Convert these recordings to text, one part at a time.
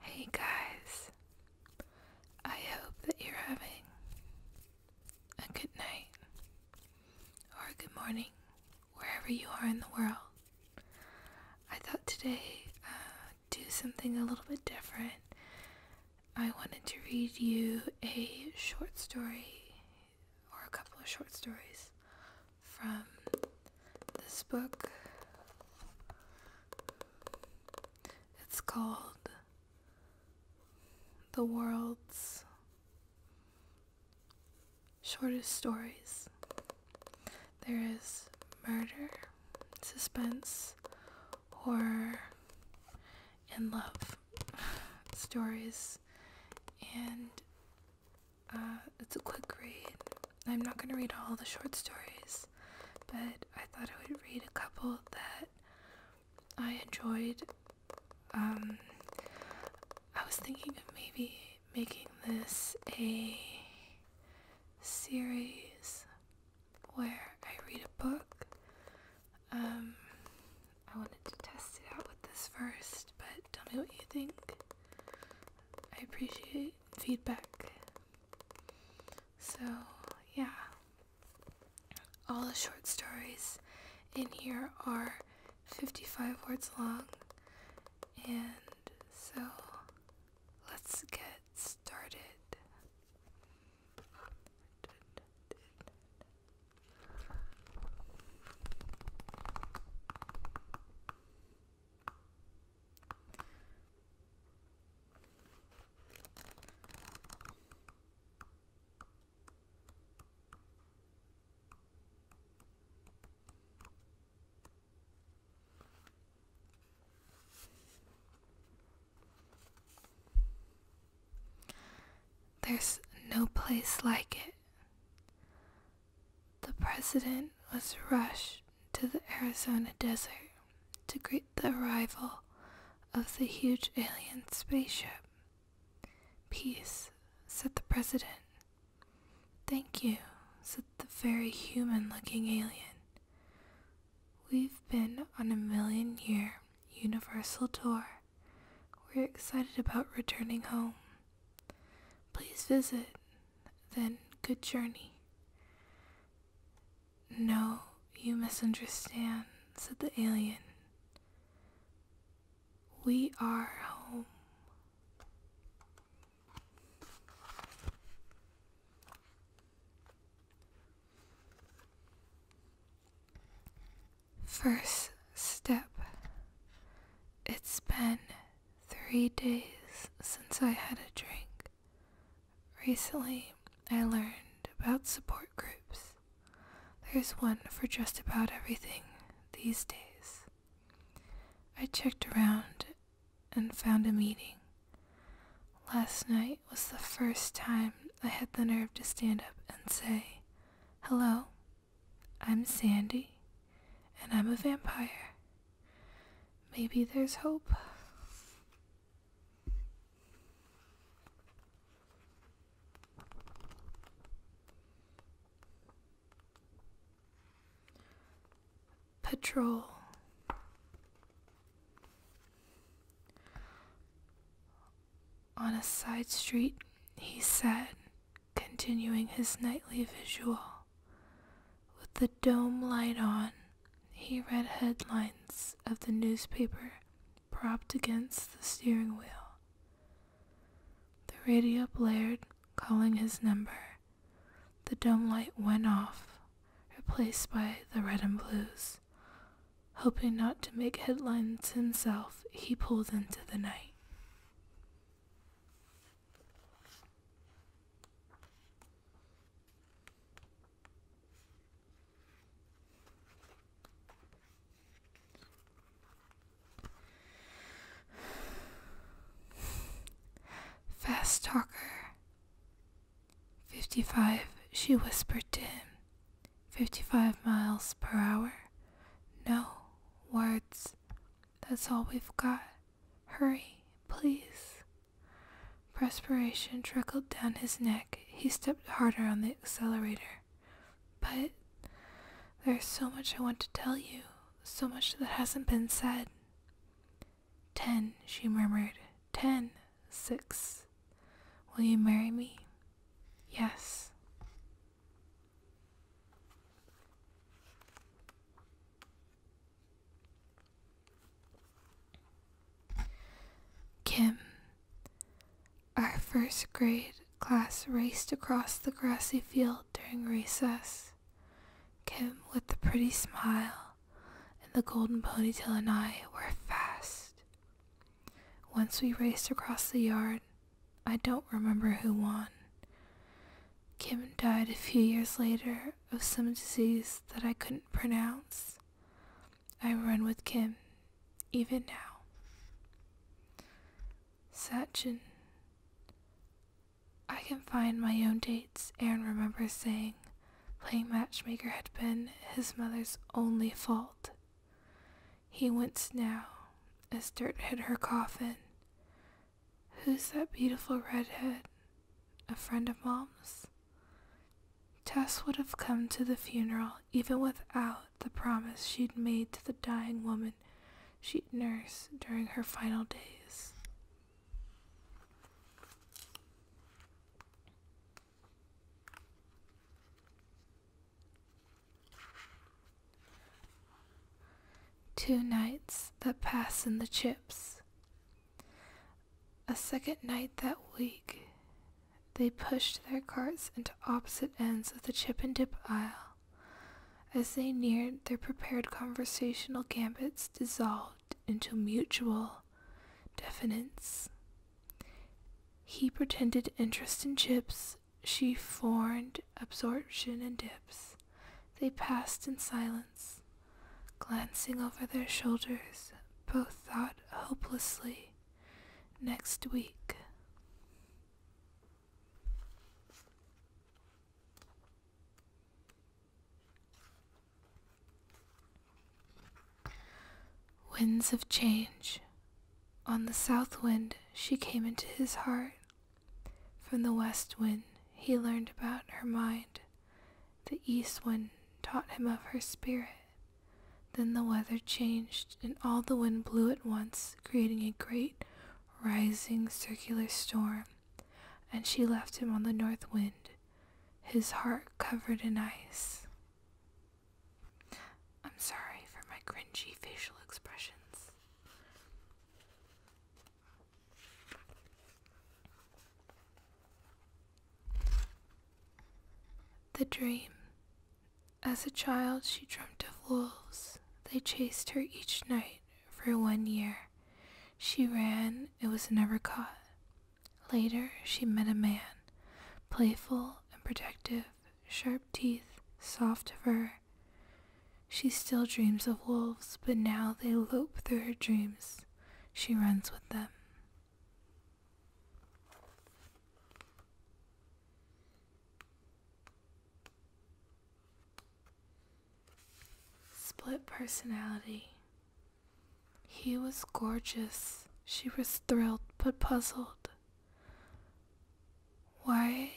Hey guys, I hope that you're having a good night or a good morning wherever you are in the world. I thought today uh, do something a little bit different. I wanted to read you a short story or a couple of short stories from this book. It's called The World's Shortest Stories. There is murder, suspense, horror, and love stories. And uh, it's a quick read. I'm not going to read all the short stories, but I thought I would read a couple that I enjoyed. Um, I was thinking of maybe making this a series where I read a book. Um, I wanted to test it out with this first, but tell me what you think. I appreciate feedback. So, yeah. All the short stories in here are 55 words long. And so, let's get started. There's no place like it. The president was rushed to the Arizona desert to greet the arrival of the huge alien spaceship. Peace, said the president. Thank you, said the very human looking alien. We've been on a million year universal tour. We're excited about returning home. Please visit. Then good journey. No, you misunderstand, said the alien. We are home. First, step. It's been three days since I had a drink. Recently, I learned about support groups. There's one for just about everything these days. I checked around and found a meeting. Last night was the first time I had the nerve to stand up and say, Hello, I'm Sandy, and I'm a vampire. Maybe there's hope. Patrol. On a side street, he said continuing his nightly visual. With the dome light on, he read headlines of the newspaper propped against the steering wheel. The radio blared, calling his number. The dome light went off, replaced by the red and blues. Hoping not to make headlines himself, he pulled into the night. Fast talker. Fifty five, she whispered to him. Fifty five miles per hour. No words that's all we've got. Hurry, please. Perspiration trickled down his neck. He stepped harder on the accelerator. But there's so much I want to tell you, so much that hasn't been said. Ten, she murmured. Ten, six. Will you marry me? Yes. Kim. Our first grade class raced across the grassy field during recess. Kim, with the pretty smile and the golden ponytail, and I were fast. Once we raced across the yard, I don't remember who won. Kim died a few years later of some disease that I couldn't pronounce. I run with Kim, even now. Sachin. I can find my own dates, Aaron remembers saying. Playing matchmaker had been his mother's only fault. He winced now, as dirt hit her coffin. Who's that beautiful redhead? A friend of Mom's? Tess would have come to the funeral even without the promise she'd made to the dying woman she'd nurse during her final days. Two nights that pass in the chips. A second night that week, they pushed their carts into opposite ends of the chip and dip aisle. As they neared, their prepared conversational gambits dissolved into mutual definence. He pretended interest in chips, she formed absorption and dips. They passed in silence. Glancing over their shoulders, both thought hopelessly, next week. Winds of change. On the south wind, she came into his heart from the west wind he learned about her mind, the east wind taught him of her spirit. Then the weather changed, and all the wind blew at once, creating a great rising circular storm. And she left him on the north wind, his heart covered in ice. I'm sorry for my cringy facial expressions. The dream. As a child, she dreamt of wolves. They chased her each night for one year. She ran, it was never caught. Later, she met a man, playful and protective sharp teeth, soft fur. She still dreams of wolves, but now they lope through her dreams. She runs with them. Split personality. He was gorgeous. She was thrilled but puzzled. Why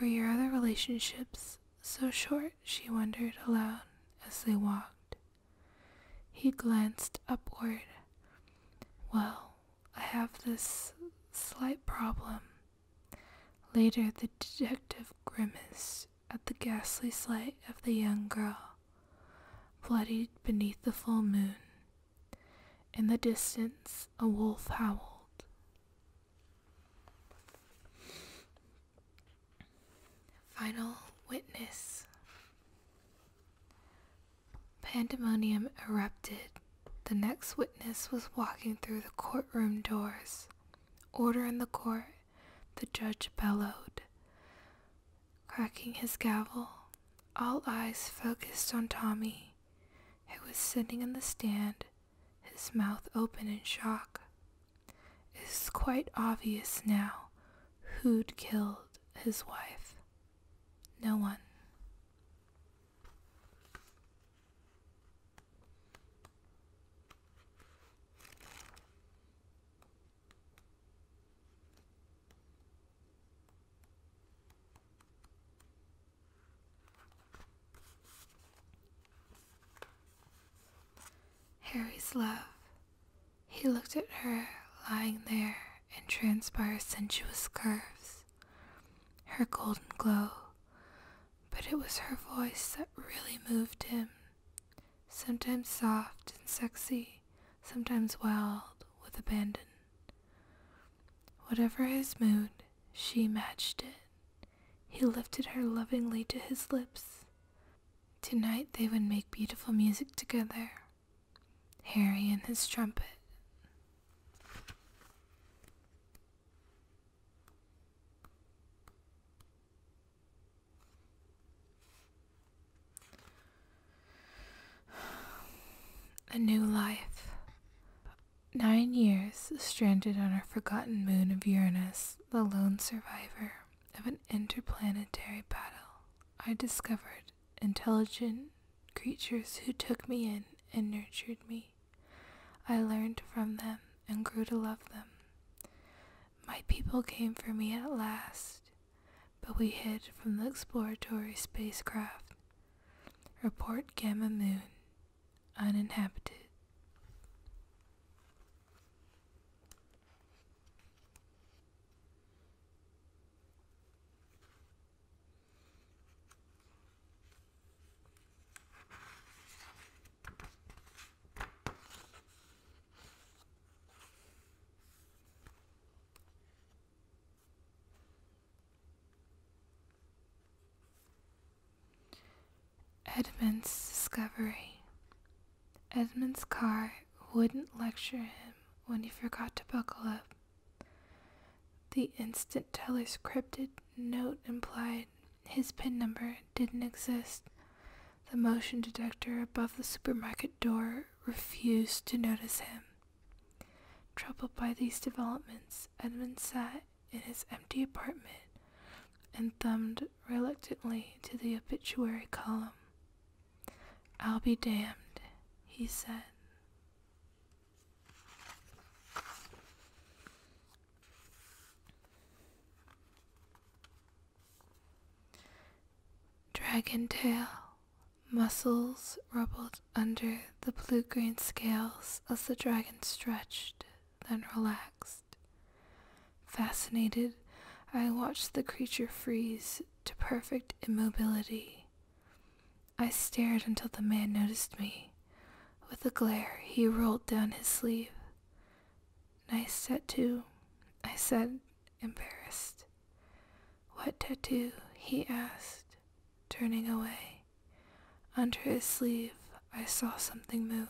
were your other relationships so short? she wondered aloud as they walked. He glanced upward. Well, I have this slight problem. Later, the detective grimaced at the ghastly sight of the young girl, bloodied beneath the full moon. In the distance, a wolf howled. Final witness. Pandemonium erupted. The next witness was walking through the courtroom doors. Order in the court, the judge bellowed, cracking his gavel. All eyes focused on Tommy, who was sitting in the stand his mouth open in shock. It's quite obvious now who'd killed his wife. No one. Harry's love. He looked at her lying there in transpire sensuous curves, her golden glow, but it was her voice that really moved him, sometimes soft and sexy, sometimes wild with abandon. Whatever his mood, she matched it. He lifted her lovingly to his lips. Tonight they would make beautiful music together. Harry and his trumpet. A new life. Nine years stranded on our forgotten moon of Uranus, the lone survivor of an interplanetary battle, I discovered intelligent creatures who took me in and nurtured me. I learned from them and grew to love them. My people came for me at last, but we hid from the exploratory spacecraft. Report Gamma Moon, uninhabited. Edmund's discovery. Edmund's car wouldn't lecture him when he forgot to buckle up. The instant teller's cryptic note implied his PIN number didn't exist. The motion detector above the supermarket door refused to notice him. Troubled by these developments, Edmund sat in his empty apartment and thumbed reluctantly to the obituary column. I'll be damned, he said. Dragon tail, muscles rubble under the blue green scales as the dragon stretched, then relaxed. Fascinated, I watched the creature freeze to perfect immobility. I stared until the man noticed me. With a glare, he rolled down his sleeve. Nice tattoo, I said, embarrassed. What tattoo? he asked, turning away. Under his sleeve, I saw something move.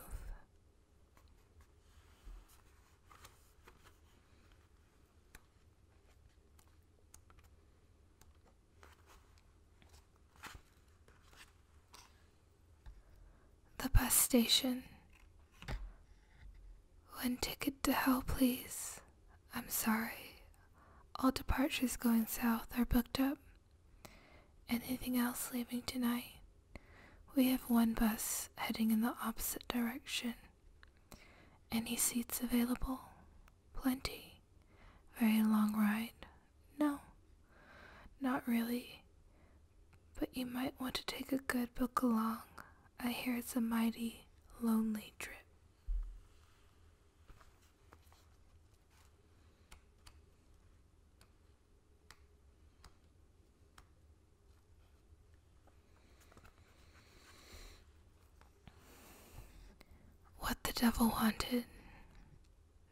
The bus station. One ticket to hell, please. I'm sorry, all departures going south are booked up. Anything else leaving tonight? We have one bus heading in the opposite direction. Any seats available? Plenty. Very long ride? No. Not really. But you might want to take a good book along. I hear it's a mighty lonely trip. What the devil wanted.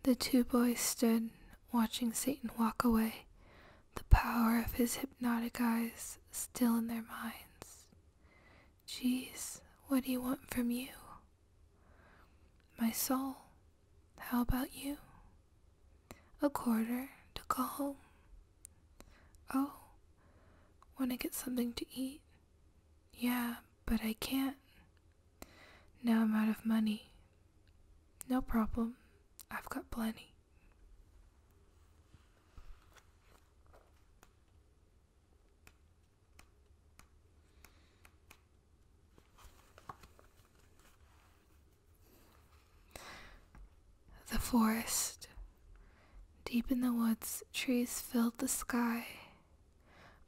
The two boys stood watching Satan walk away, the power of his hypnotic eyes still in their minds. Geez, what do you want from you? My soul, how about you? A quarter to go home. Oh, wanna get something to eat? Yeah, but I can't. Now I'm out of money. No problem, I've got plenty. The forest. Deep in the woods, trees filled the sky.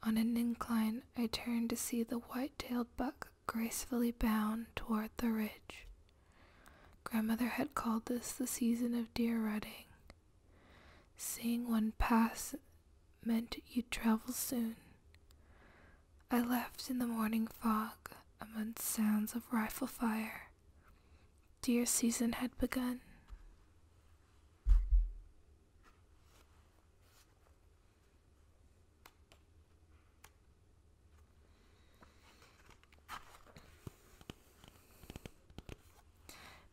On an incline, I turned to see the white tailed buck gracefully bound toward the ridge. Grandmother had called this the season of deer rutting, Seeing one pass meant you'd travel soon. I left in the morning fog amid sounds of rifle fire. Deer season had begun.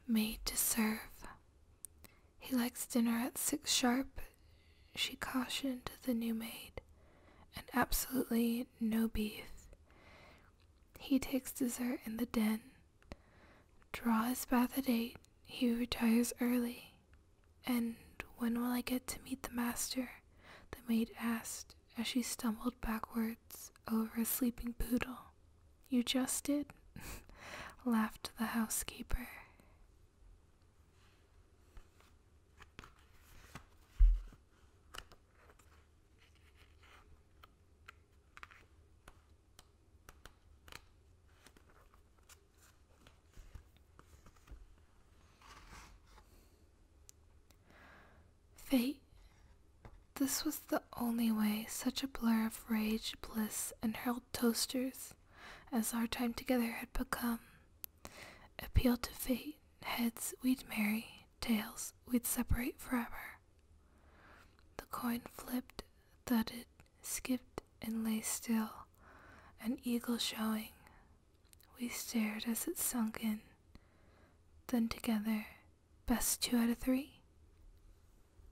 Made to serve, he likes dinner at six sharp, she cautioned the new maid, and absolutely no beef. He takes dessert in the den. Draw his bath at eight, he retires early. And when will I get to meet the master? The maid asked as she stumbled backwards over a sleeping poodle. You just did? laughed the housekeeper. Fate. This was only way such a blur of rage, bliss, and hurled toasters as our time together had become. Appeal to fate, heads we'd marry, tails we'd separate forever. The coin flipped, thudded, skipped, and lay still, an eagle showing. We stared as it sunk in. Then together, best two out of three.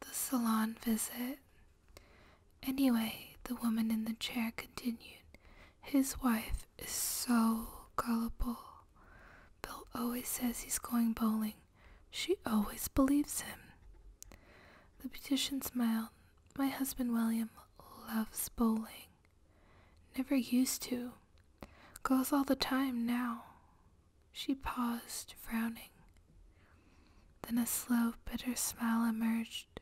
The salon visit. Anyway, the woman in the chair continued. His wife is so gullible. Bill always says he's going bowling. She always believes him. The beautician smiled. My husband William loves bowling. Never used to. Goes all the time now. She paused, frowning. Then a slow, bitter smile emerged.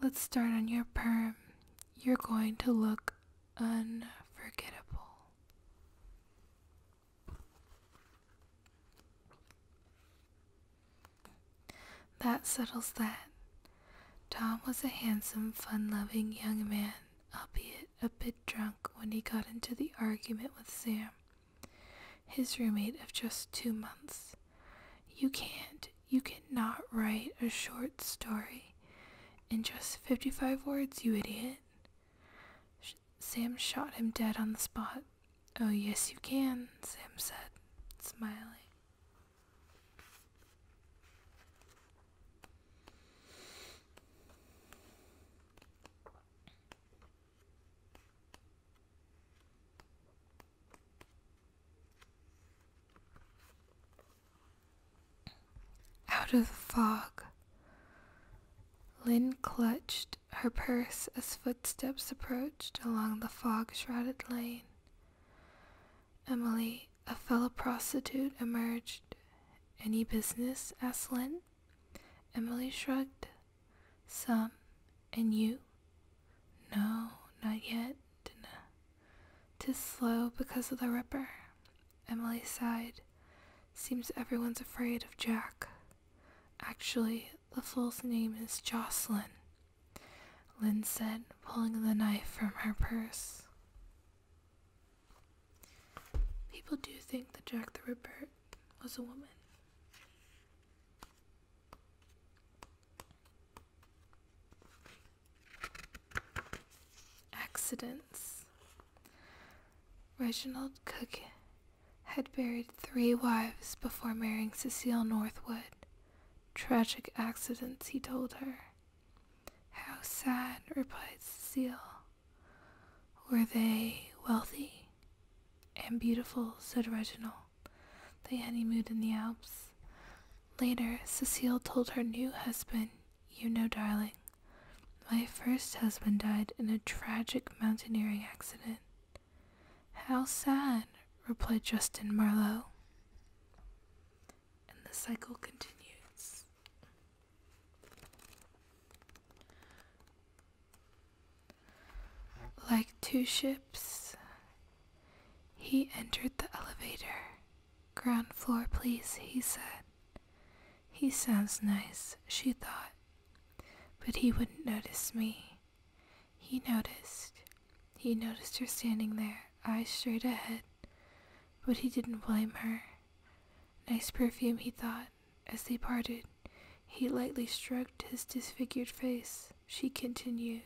Let's start on your perm. You're going to look unforgettable. That settles that. Tom was a handsome, fun-loving young man, albeit a bit drunk when he got into the argument with Sam, his roommate of just two months. You can't, you cannot write a short story in just 55 words, you idiot. Sam shot him dead on the spot. Oh, yes, you can, Sam said, smiling. Out of the fog, Lynn clutched her purse as footsteps approached along the fog shrouded lane. Emily a fellow prostitute emerged. Any business? asked Lynn. Emily shrugged. Some. And you? No, not yet. Tis slow because of the Ripper. Emily sighed. Seems everyone's afraid of Jack. Actually, the fool's name is Jocelyn, Lynn said, pulling the knife from her purse. People do think that Jack the Ripper was a woman. Accidents. Reginald Cook had buried three wives before marrying Cecile Northwood. Tragic accidents, he told her. How sad, replied Cecile. Were they wealthy? And beautiful, said Reginald. They honeymooned in the Alps. Later, Cecile told her new husband, You know, darling, my first husband died in a tragic mountaineering accident. How sad, replied Justin Marlowe. And the cycle continues. Like two ships, he entered the elevator. Ground floor, please, he said. He sounds nice, she thought. But he wouldn't notice me. He noticed. He noticed her standing there, eyes straight ahead. But he didn't blame her. Nice perfume, he thought. As they parted, he lightly stroked his disfigured face. She continued,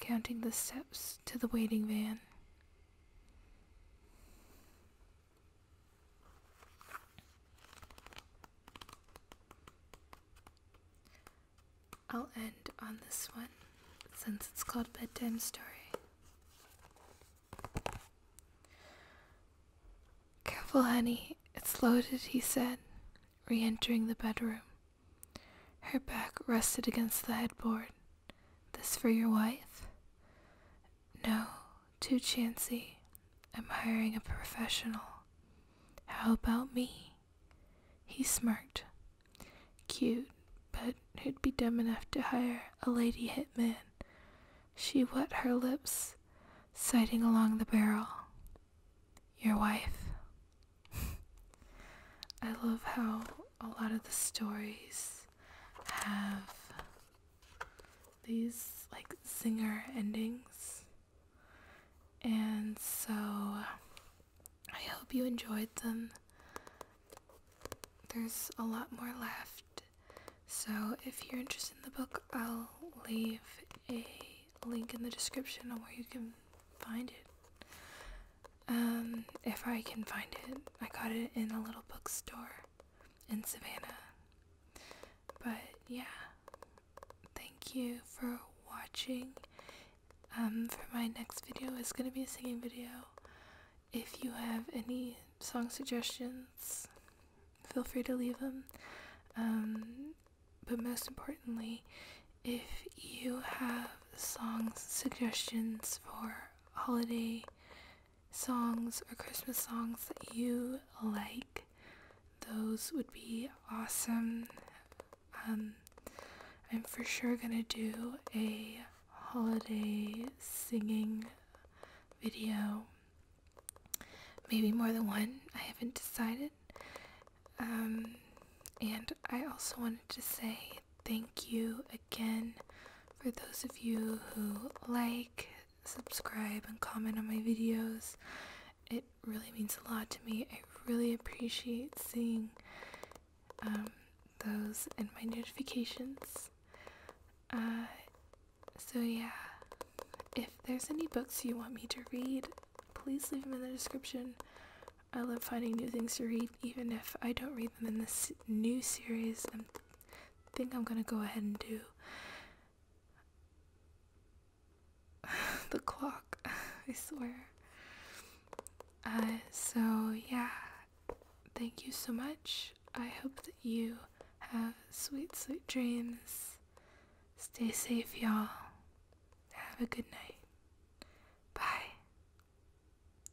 counting the steps to the waiting van. I'll end on this one since it's called Bedtime Story. Careful, honey. It's loaded, he said, re entering the bedroom. Her back rested against the headboard. This for your wife? No, too chancy. I'm hiring a professional. How about me? He smirked. Cute, but who'd be dumb enough to hire a lady hitman? She wet her lips, sighting along the barrel. Your wife. I love how a lot of the stories have these like zinger endings. And so I hope you enjoyed them there's a lot more left. So if you're interested in the book, I'll leave a link in the description on where you can find it. Um, if I can find it, I got it in a little bookstore in Savannah. But yeah, thank you for watching. Um, for my next video, it's gonna be a singing video. If you have any song suggestions, feel free to leave them. Um, but most importantly, if you have songs suggestions for holiday songs or Christmas songs that you like, those would be awesome. Um, I'm for sure gonna do a holiday singing video. Maybe more than one, I haven't decided. Um, and I also wanted to say thank you again for those of you who like, subscribe, and comment on my videos. It really means a lot to me. I really appreciate seeing um, those in my notifications. Uh, so, yeah, if there's any books you want me to read, please leave them in the description. I love finding new things to read, even if I don't read them in this new series. I think I'm gonna go ahead and do the clock, I swear. Uh, so, yeah, thank you so much. I hope that you have sweet, sweet dreams. Stay safe, y'all. Have a good night. Bye.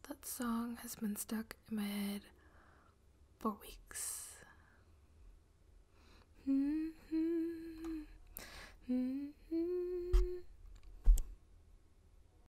That song has been stuck in my head for weeks. Mm-hmm. Mm-hmm.